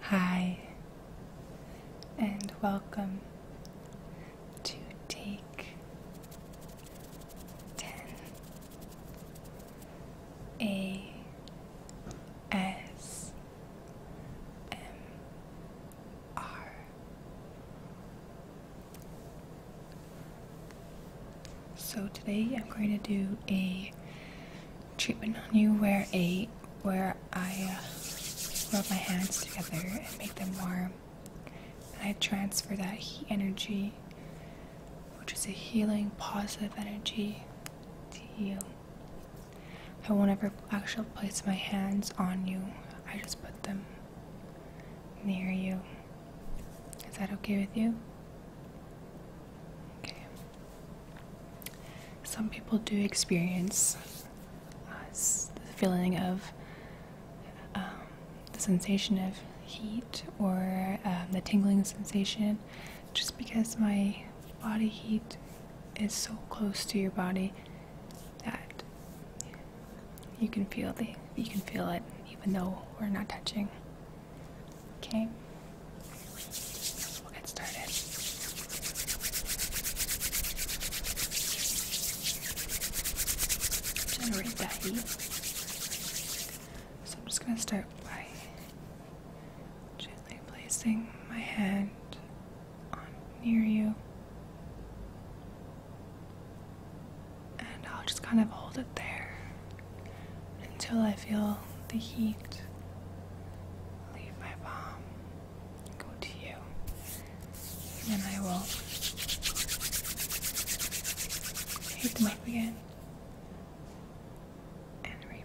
Hi, and welcome to Take 10 A S M R. So, today I'm going to do a treatment on you where a where I uh, rub my hands together and make them warm, and I transfer that heat energy, which is a healing, positive energy, to you. I won't ever actually place my hands on you. I just put them near you. Is that okay with you? Okay. Some people do experience uh, the feeling of um, the sensation of heat or um, the tingling sensation just because my body heat is so close to your body that you can feel the you can feel it even though we're not touching Okay. We'll get started. Generate that heat. So I'm just going to start by gently placing my hand on near you. And I'll just kind of hold it there until I feel the heat leave my palm, go to you, and I will hit the mic again and repeat.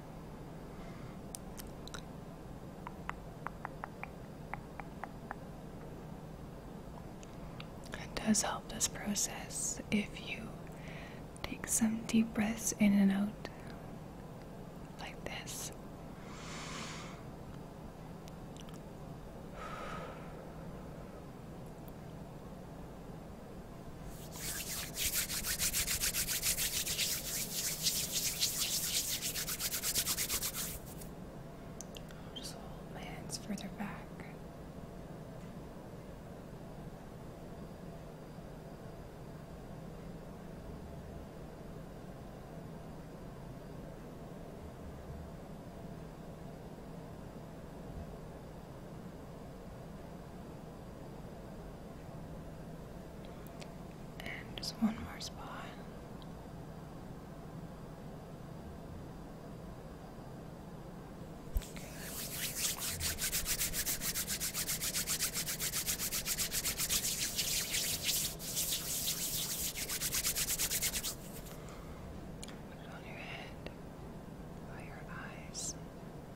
It does help this process if you take some deep breaths in and out like this. I'll just hold my hands further back. And just one more spot. Put it on your head, by your eyes,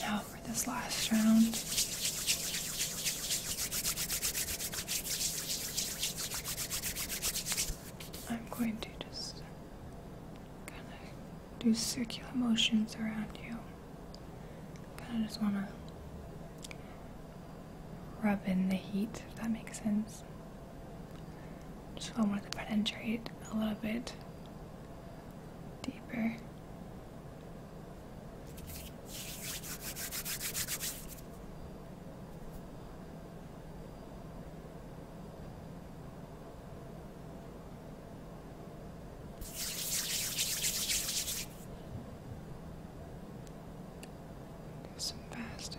Now for this last round. I'm going to just kind of do circular motions around you. Kind of just want to rub in the heat, if that makes sense. Just want to penetrate a little bit deeper some faster.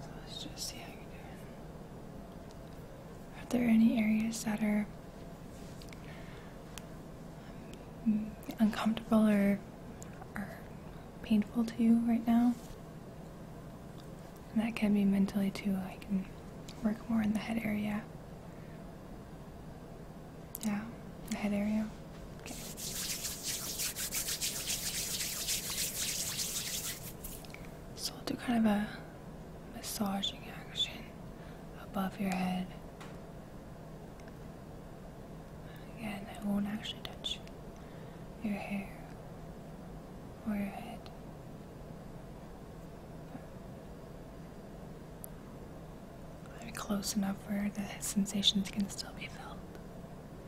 So let's just see how you're doing. Are there any areas that are um, uncomfortable or, or painful to you right now? And that can be mentally too. I can work more in the head area. Yeah, the head area. Okay. So I'll do kind of a massaging action above your head. Again, it won't actually touch your hair or your head. But close enough where the sensations can still be felt.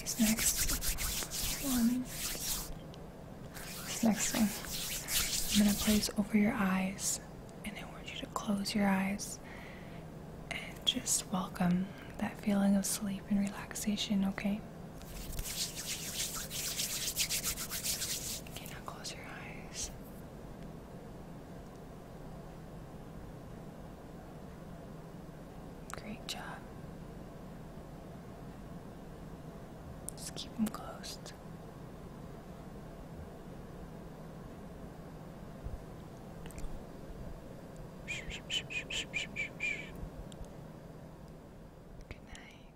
This next one. This next one. I'm gonna place over your eyes and I want you to close your eyes and just welcome that feeling of sleep and relaxation, okay? Okay, now close your eyes. Great job. Just keep them closed. Good night.